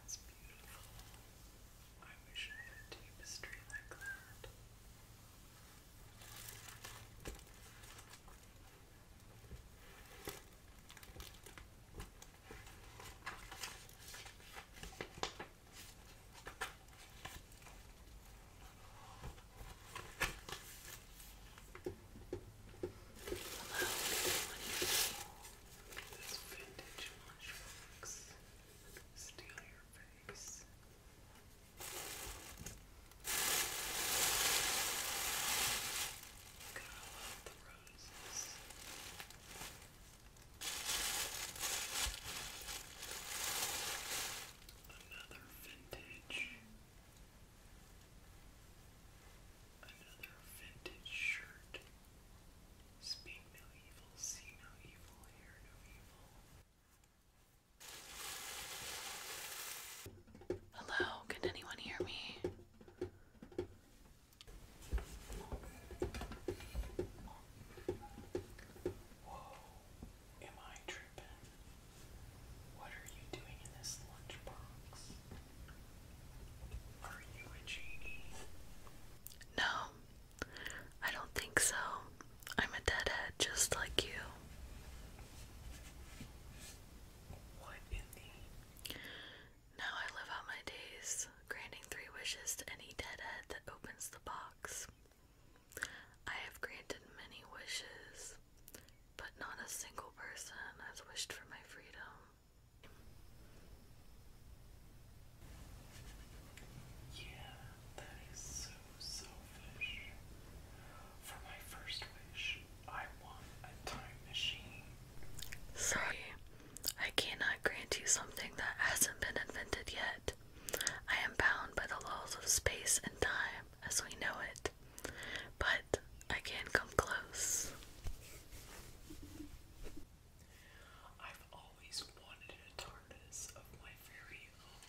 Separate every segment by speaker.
Speaker 1: That's beautiful. I wish I had a tapestry like that. This vintage mushrooms steal your face. Gotta love
Speaker 2: the roses. Another vintage. Another vintage shirt. Speak no evil, see no evil, hear no evil. Hello, can anyone hear me? Whoa, am I tripping? What are you doing in this lunchbox? Are you a genie? No, I don't think so. I'm a deadhead just like you. Now I live out my days, granting three wishes to any deadhead that opens the box. I have granted many wishes, but not a single person has wished for my freedom. Yeah,
Speaker 1: that is so I
Speaker 2: Sorry, I cannot grant you something that hasn't been invented yet. I am bound by the laws of space and time as we know it, but I can come close.
Speaker 1: I've always wanted a TARDIS of my very own.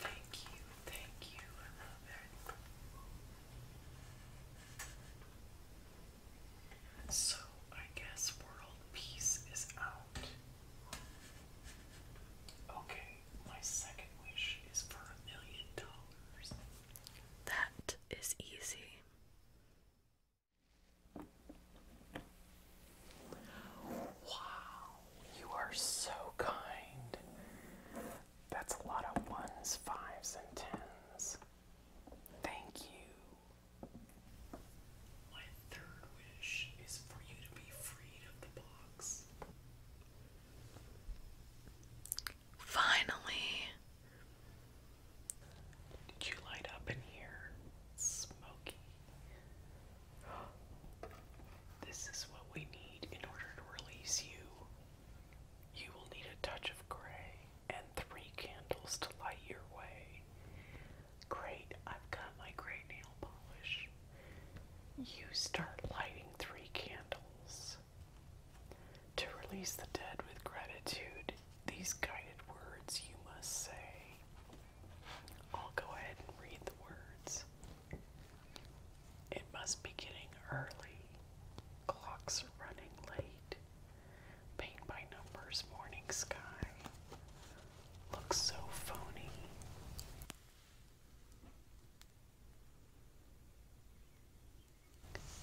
Speaker 1: Thank you, thank you. I love it. So I guess world peace is out. Okay, my second wish is for a million dollars. That is easy. Wow, you are so kind. That's a lot of ones, fives, and tens. Thank you. My third wish is for you to be freed of the box. Finally. Did you light up in here? Smoky. This is what we need in order to release you. You will need a touch of gray and three candles to light your way. Great, I've got my gray nail polish. You start lighting three candles. To release the dead with gratitude, these guided words you must say I'll go ahead and read the words. It must be getting early. Clocks running late. Paint by numbers morning sky. Looks so phony.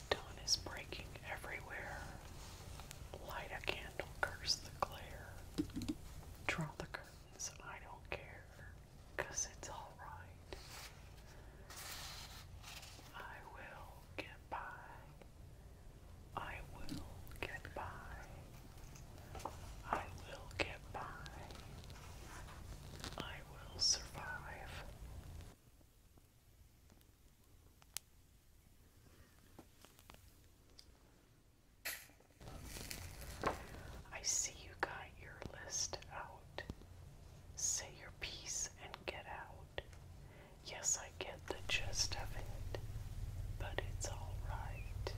Speaker 1: Dawn is breaking everywhere. Light a candle, curse the glare. Draw the I don't care, because it's alright. I will get by. I will get by. I will get by. I will survive. I see you got your list out. Say your piece and get out. Yes, I get the gist of it, but it's alright.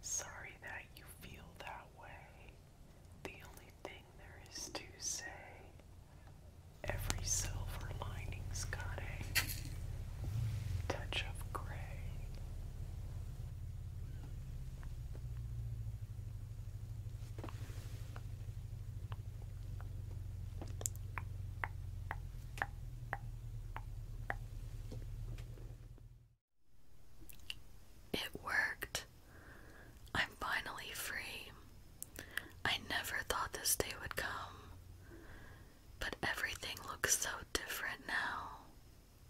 Speaker 1: Sorry that you feel that way. The only thing there is to say every silver lining's got a touch of gray.
Speaker 2: It worked. I'm finally free. I never thought this day would come. But everything looks so different now.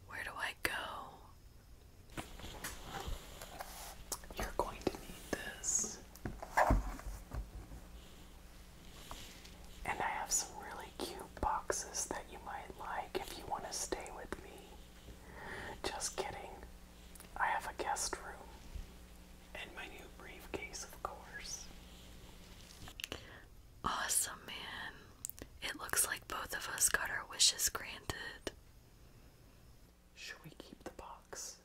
Speaker 2: Where do I go?
Speaker 1: You're going to need this. And I have some really cute boxes that you might like if you want to stay with me. Just kidding. I have a guest room
Speaker 2: and my new briefcase, of course. Awesome, man. It looks like both of us got our wishes granted. Should we keep the box?